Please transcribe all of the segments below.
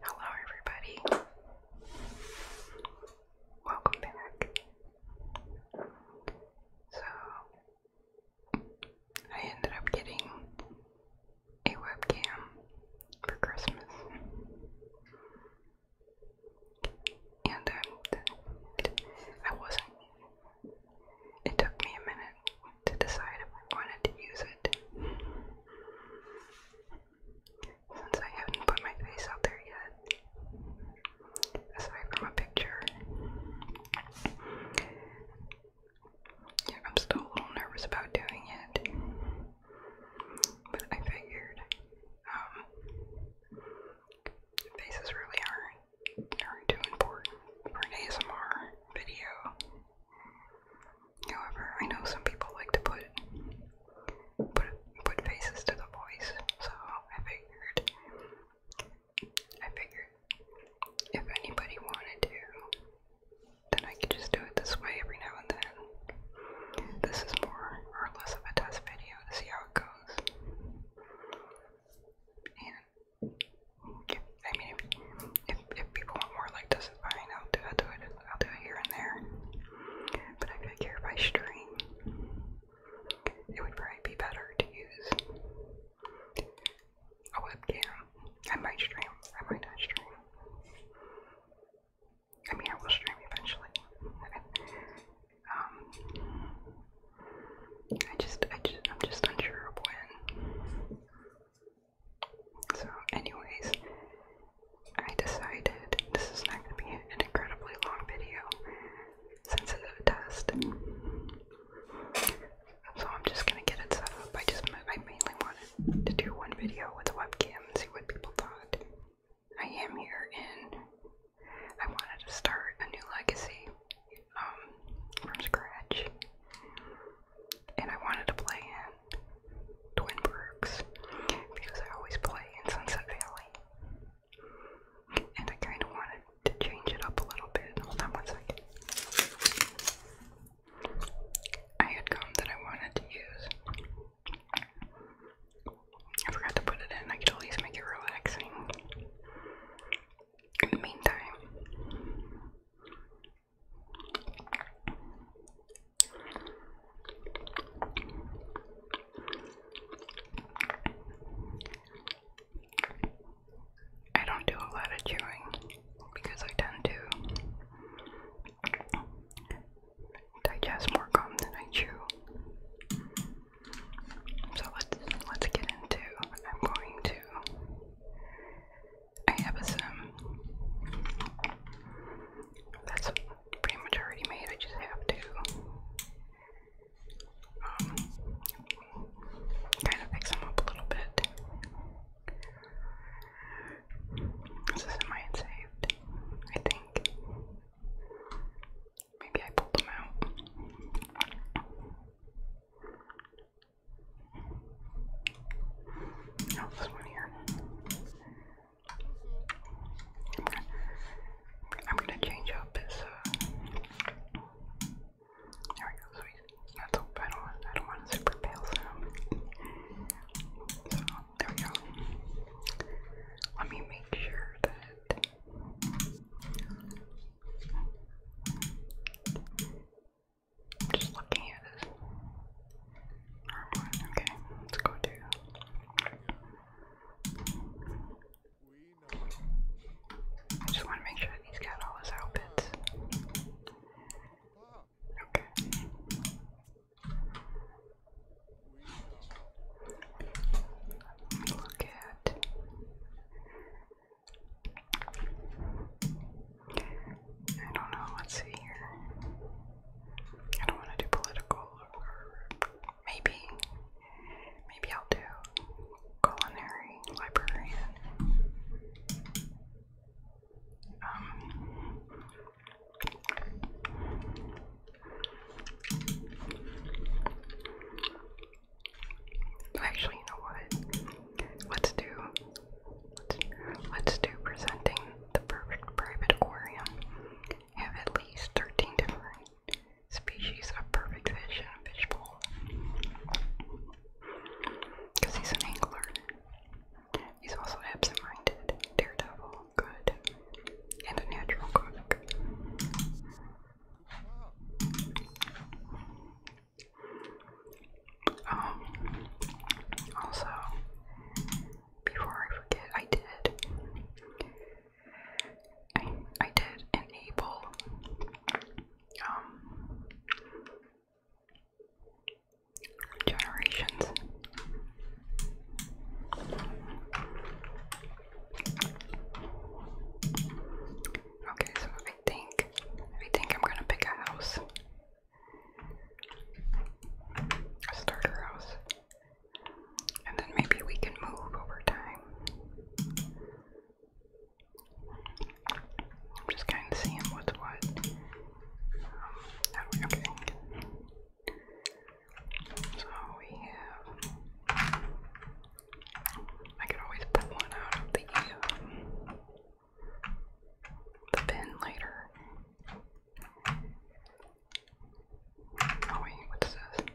Hello, everybody. Welcome back. So, I ended up getting a webcam for Christmas. And um, I wasn't it took me a minute to decide if I wanted to use it. Since I haven't put my face out there yet, aside from a picture, I'm still a little nervous about doing it, but I figured um, faces really are not too important for an ASMR video. However, I know some people like to put put put faces to the voice, so I figured I figured if anybody wanted to, then I could just do it this way every now and then. This is more or less of a test video to see how it goes. I mean, if, if, people want more like this, fine. I'll do, I'll do it. I'll do it here and there. But if I stream, it would probably be better to use a webcam. I might stream. I might not stream. I mean, I will stream eventually. um, I just, I just, I'm just unsure of when. So, anyways, I decided this is not going to be an incredibly long video since it's a test. So I'm just gonna get it set up. I just I mainly wanted to do one video with a webcam and see what people thought. I am here and I wanted to start a new legacy um, from scratch, and I wanted to play in Twin Brooks because I always play in Sunset Valley, and I kind of wanted to change it up a little bit. Hold on one second. I had gum that I wanted to use. I forgot to put it in. I could at least make it relaxing. In the meantime, I don't do a lot of chewing because I tend to digest more gum than I chew. So let's let's get into I'm going to I have a sim. That's pretty much already made, I just have to um, kind of fix them up a little bit. This is my had saved, I think. Maybe I pulled them out. Oh, I'm gonna, change up his. Uh, there we go. So he's not I don't. I don't want a super pale sound. So there we go. Let me make sure that just looking at this Okay, let's go to. I just want to make sure he's got all his outfits. Okay. Let me look at I don't know, what's here. I don't want to do political, maybe, maybe I'll do culinary librarian. Um, actually, you know what? Let's do let's, do presenting the perfect private aquarium. Have at least 13 different species of perfect fish in a fish bowl. Because he's an angler. He's also absent-minded, daredevil, good, and a natural cook. Um, also, before I forget, I did, I, I did enable, um, generations. Okay, so I think I think I'm gonna pick a house. A starter house. And then maybe we can move over time. I'm just kind of seeing what's what. Um, so we have. I could always put one out of the um, the pen later. Oh wait, what's this?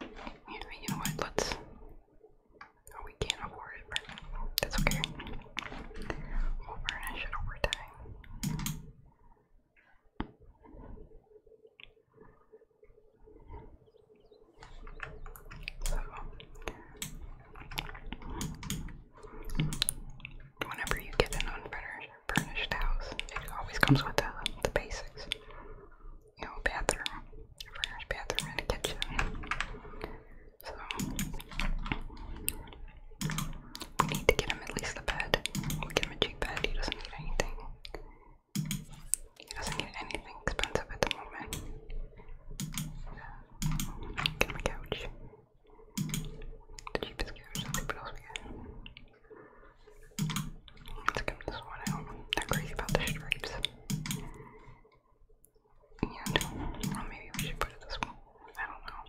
Yeah, you know what, let's... Oh, we can't afford it, but that's okay. We'll furnish it over time. Whenever you get an unfurnished house, it always comes with the, the basics. You know, a bathroom, a bathroom, and a kitchen. So, we need to get him at least a bed. get him a cheap bed, he doesn't need anything. He doesn't get anything expensive at the moment. Get my couch. The cheapest couch, what else we get. Let's get this one out. Not crazy about the stripes. And, maybe we should put it this one. I don't know.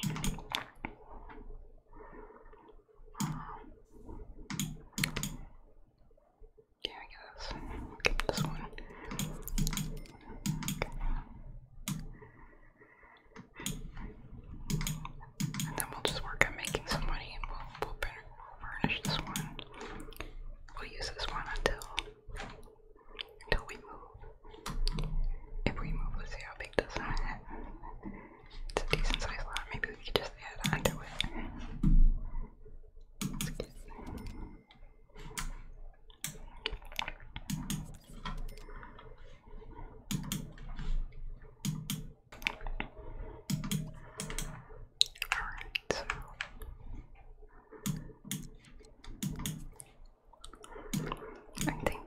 Yeah, I guess. I'll get this one. Okay. And then we'll just work on making some money and we'll, we'll furnish this one. We'll use this one until until we move. If we move, let's see how big this one It's a decent sized lot. Maybe we could just add on Alright. I think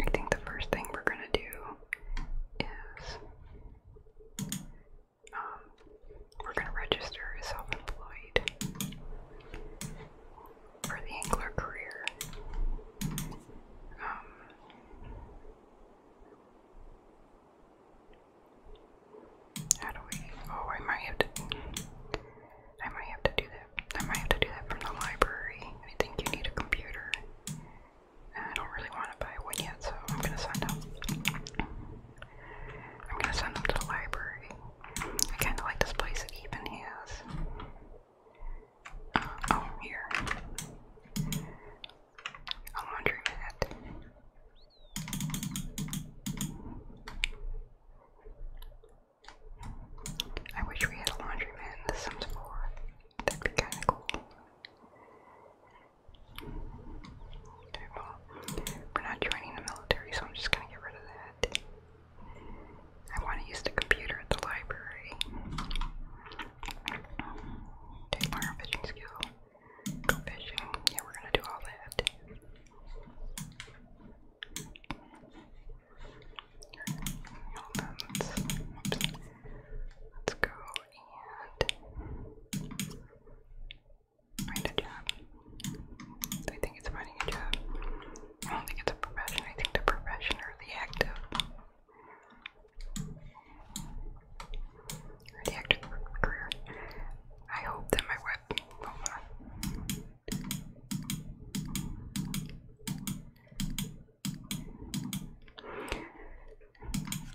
I think the first thing we're gonna do is um, we're going to register as self-employed for the angler career. Um, how do we? Oh, I might have to. I might have to do that. I might have to do that from the library. I think you need a computer. I don't really want to buy one yet, so I'm gonna send them. I'm gonna send them to the library. I kind of like this place that Eben has. Uh, oh, here. A laundry mat. I wish we had a laundry mat in the Sims 4. That'd be kind of cool well, we're not joining the military, so I'm just gonna get rid of that. I want to use the computer at the library. Take learn fishing skill. Go fishing. Yeah, we're gonna do all that. Hold on, let's go and Find a job. I think it's finding a job. I don't think it's a profession. I think the profession or the active. the active career. I hope that my web. Hold on.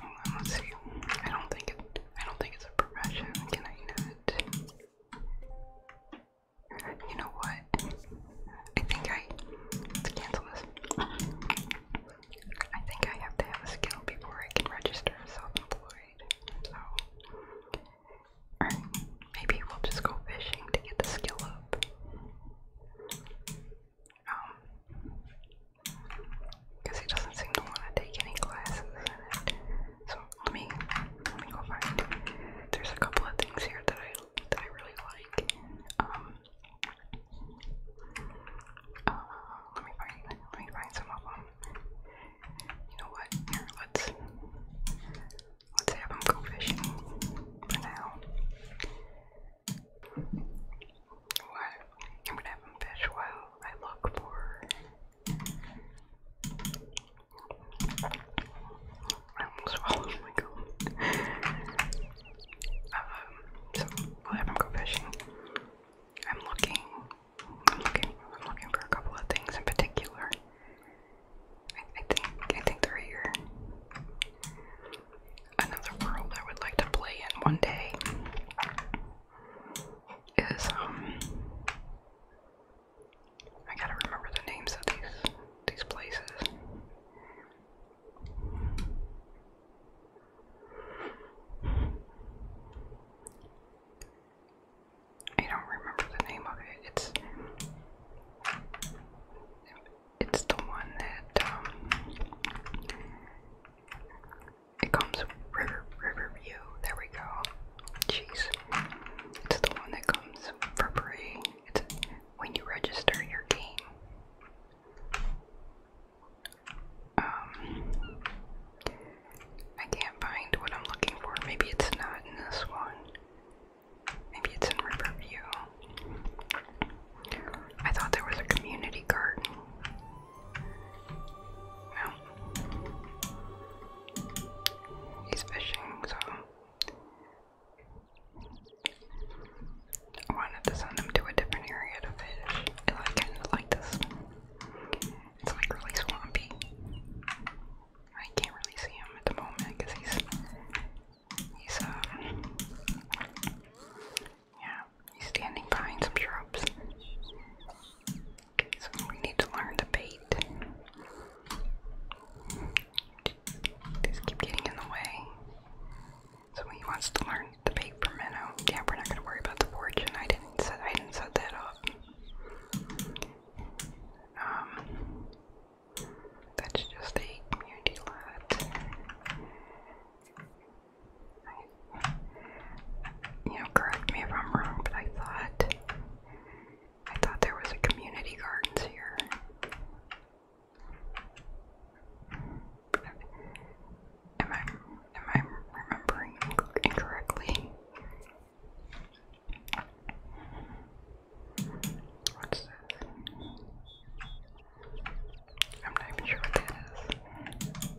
Hold let's see. I don't think it I don't think it's a profession. Can I not? You know what? I think I let's cancel this. I think I have to have a skill before I can register self-employed. So or maybe we'll just go fishing to get the skill up. Um because he doesn't seem to want to take any classes let me let me go find. There's a couple of things here that I that I really like. Um, uh, let me find let me find some of them. You know what? Here, let's let's have them go fishing for now. What? I'm gonna have them fish while I look for I almost so I haven't go fishing. I'm looking, I'm looking, I'm looking for a couple of things in particular. I, I think, I think they're here. Another world I would like to play in one day is um I gotta remember the names of these these places. I don't remember the name of it. It's it's the one that um it comes river river view. There we go. Jeez. It's the one that comes for free. It's when you register your game. Um, I can't find what I'm looking for. Maybe it's not in this one. Maybe it's in Riverview. I thought there was a community garden. No. He's fishing, so I wanted to send him to a different area to fish. I like it like this. It's like really swampy. I can't really see him at the moment because he's he's um yeah he's standing behind some shrubs so we need to learn to beat. These keep getting in the way. So he wants to learn to bait for minnow. Yeah, we're not gonna worry about the fortune. I didn't set I didn't set that up. Um that's just a community lot. you know, correct me if I'm wrong, but I thought I thought there was a community gardens here. Am I am I remembering incorrectly? What's this? I'm not even sure what that is.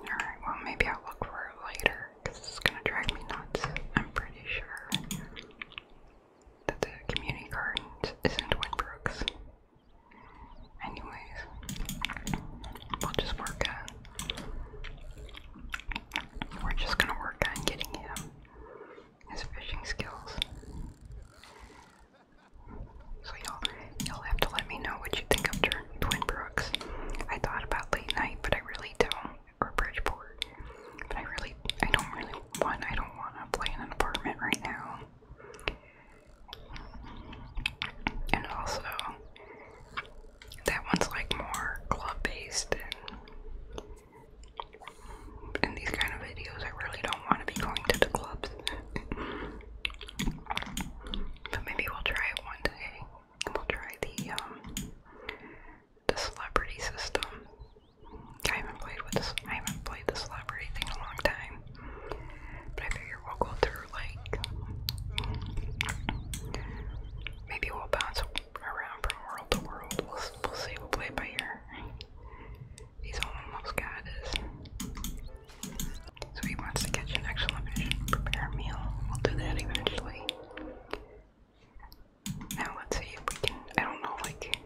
Alright, well, maybe I'll look for it later because it's gonna drag me nuts. I'm pretty sure that the community gardens isn't Brooks. Anyways, we'll just work on. We're just gonna work on getting him his fishing skills. So y'all, y'all have to let me know what you think of Twin Brooks. I thought about late night, but I really don't, or Bridgeport. But I really, I don't really want, I don't want to play in an apartment right now. And also, that one's like more club based in these kind of videos, I really don't want to be going to the clubs. but maybe we'll try it one day. We'll try the um, the celebrity system. I haven't played with I haven't played the celebrity thing in a long time. But I figure we'll go through like maybe we'll bounce around from world to world. We'll, see. We'll play by ear. He's almost got it. So he wants to catch an excellent fish prepare a meal. We'll do that eventually. Now let's see if we can. I don't know. Like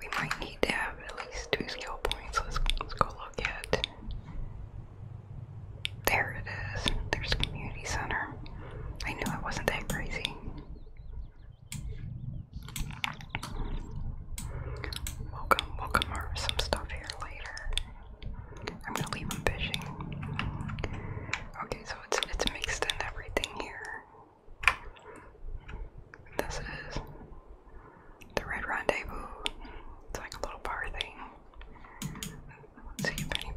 we might need to have at least two skill points. Let's let's go look at. There it is. There's a community center. I knew it wasn't that crazy. We'll some stuff here later. I'm gonna leave them fishing. Okay, so it's it's mixed in everything here. This is the Red Rendezvous. It's like a little bar see if any.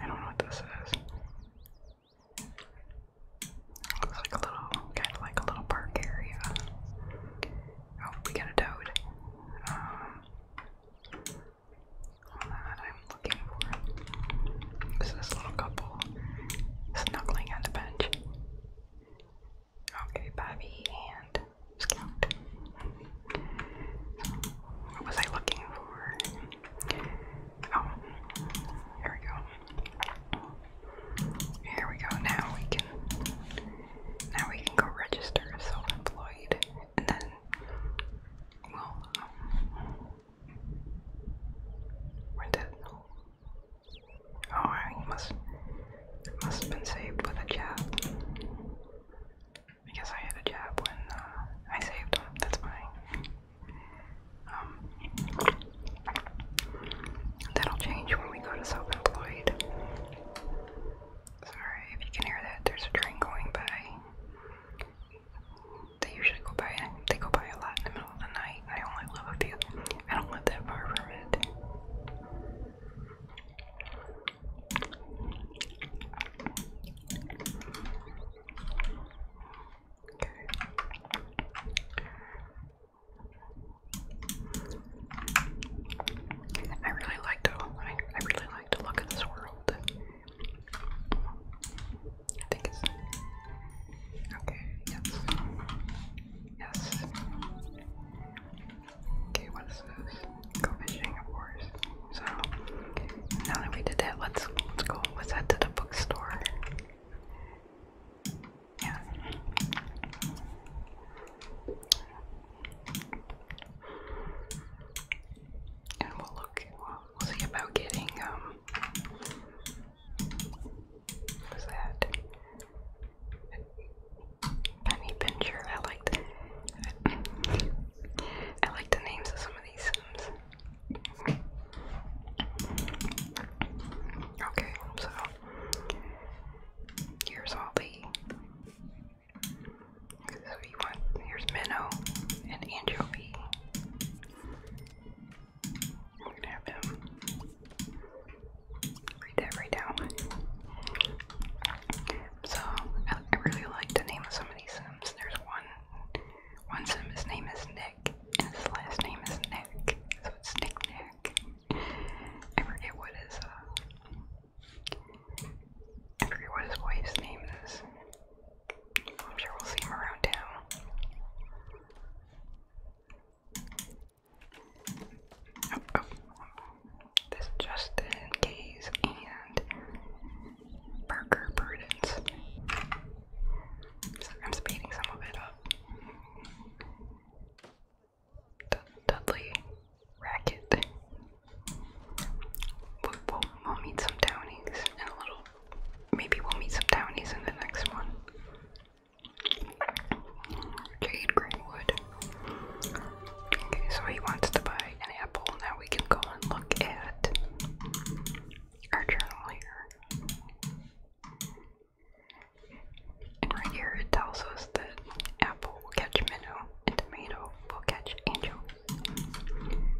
I don't know what this is. Looks like a little, kind of like a little park area. Oh, we got a toad. that um, I'm looking for this little couple snuggling on the bench. Okay, Bobby and what was I looking for? Oh, here we go. Here we go. Now we can. Now we can go register as self-employed, and then well, um, where Oh, I must. must have been saved with a job. I guess I had a job when uh, I saved him. That's fine. Um, that'll change when we go to self-employed. Sorry if you can hear that. There's a train going by. They usually go by. They go by a lot in the middle of the night. I only live a few. I don't live that far from it. I really like to. I, I really like to look at this world. I think it's okay. Yes. Yes. Okay, what is this? Go fishing, of course. So, now that we did that, let's, let's go, let's head to the bookstore. And we'll look, we'll see about getting, um, what's that? Tiny Pincher. I like the I like the names of some of these sims. Okay, so here's all the so you want here's Minnow and Anchovy. We're going read that right down. So I, really like the name of some of these Sims. There's one one Sim, his name is Nick, his last name is Nick, so it's Nick Nick. I forget what his uh, I forget what his wife's name is. I'm sure we'll see him around town. Oh, oh this Justin Case and Parker Prudence. I'm speeding some of it up. Dudley Racket. We'll, meet some Downies in a little. Maybe we'll meet some Downies in the next one. Jade Greenwood. Okay, so he wants to buy an apple. Now we can go and look at our journal here. And right here it tells us that apple will catch minnow and tomato will catch angel.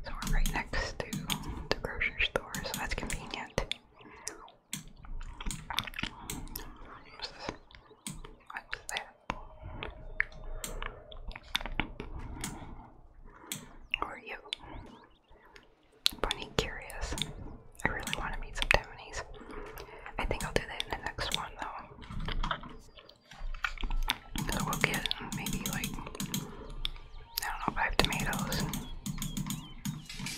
So we're right next to the grocery store, so that's convenient. What's that? Or you? Bunny curious. I really want to meet some Taiwanese. I think I'll do that in the next one though. So we'll get maybe like I don't know, five tomatoes.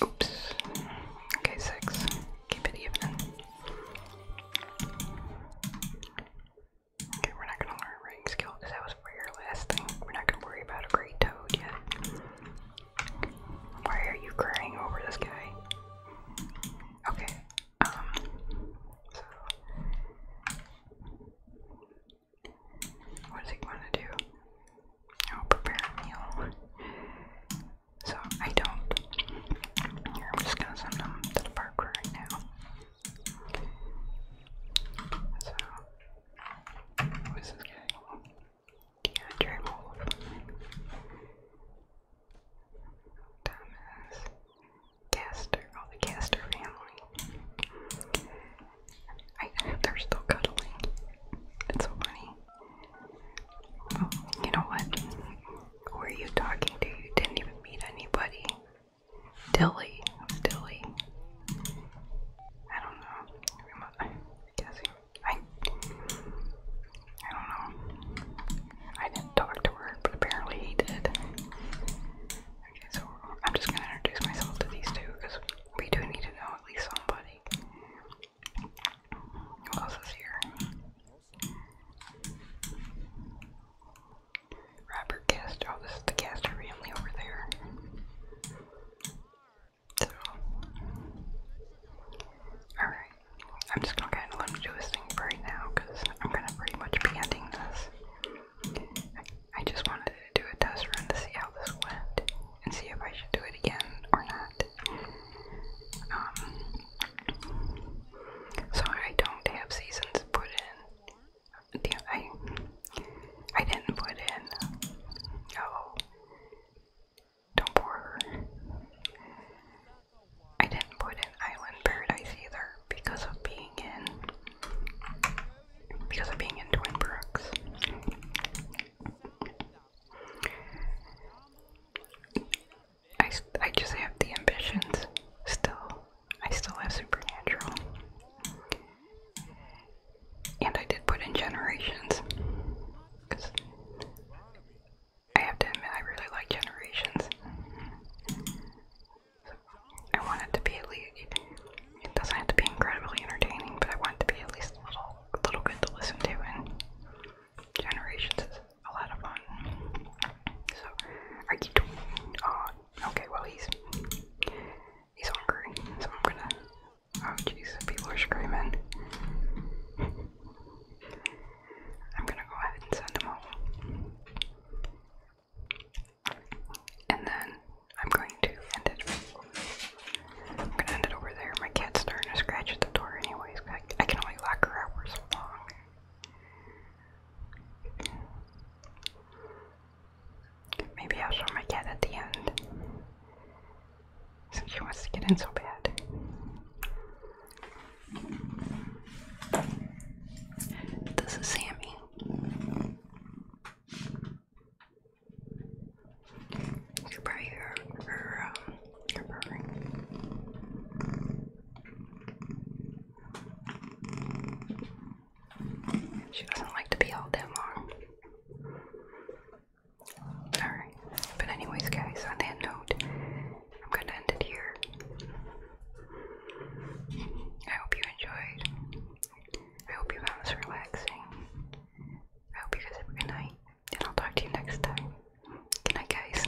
Oops. Okay, six. Keep it even. Okay, we're not gonna learn ring skill because that was for your last thing. We're not gonna worry about a great toad yet. Why are you crying over this guy? Okay, um, so. What he going to do? Oh, prepare a meal. So I don't. I'm just gonna send them to the park right now. So, this is getting a little theatrical. Thomas Castor, all the Castor family. I, they're still cuddling. It's so funny. Oh, you know what? Who are you talking to? You didn't even meet anybody. Dilly, Dilly. I don't know. I'm I, I don't know. I didn't talk to her, but apparently he did. Okay, so I'm just gonna introduce myself to these two because we do need to know at least somebody. else is here? Robert Cast. Oh, this is the Caster family over there. alright. I'm just gonna kind of let him do his thing right now because I'm gonna pretty much be ending this. I, just wanted to do a test run to see how this went and see if I should do it again or not. Um, so I don't have seasons put in Damn, I, I didn't put in. Oh, don't pour her. I didn't put in Island Paradise either because of being in, because of being in Twin Brooks. I, I just have the ambitions still I still have Supernatural. And I did put in Generations. Because I have to admit, I really like Generations. So I want it to be at least, it doesn't have to be incredibly entertaining, but I want it to be at least a little, little good to listen to, and Generations is a lot of fun. So I keep, uh, Okay, well he's he's hungry, so I'm gonna. Oh jeez, people are screaming. I'm gonna go ahead and send him home, and then I'm going to end I'm gonna end it over there. My cat's starting to scratch at the door, anyways. I, I can only lock her out for so long. Maybe I'll show my cat at the end. Since she wants to get in so bad. This is Sammy. You can probably hear she doesn't like to be held that long. Alright, but anyways guys, on that note, I'm gonna end it here. I hope you enjoyed. I hope you found this relaxing. I hope you guys have a good night, and I'll talk to you next time. Good night guys.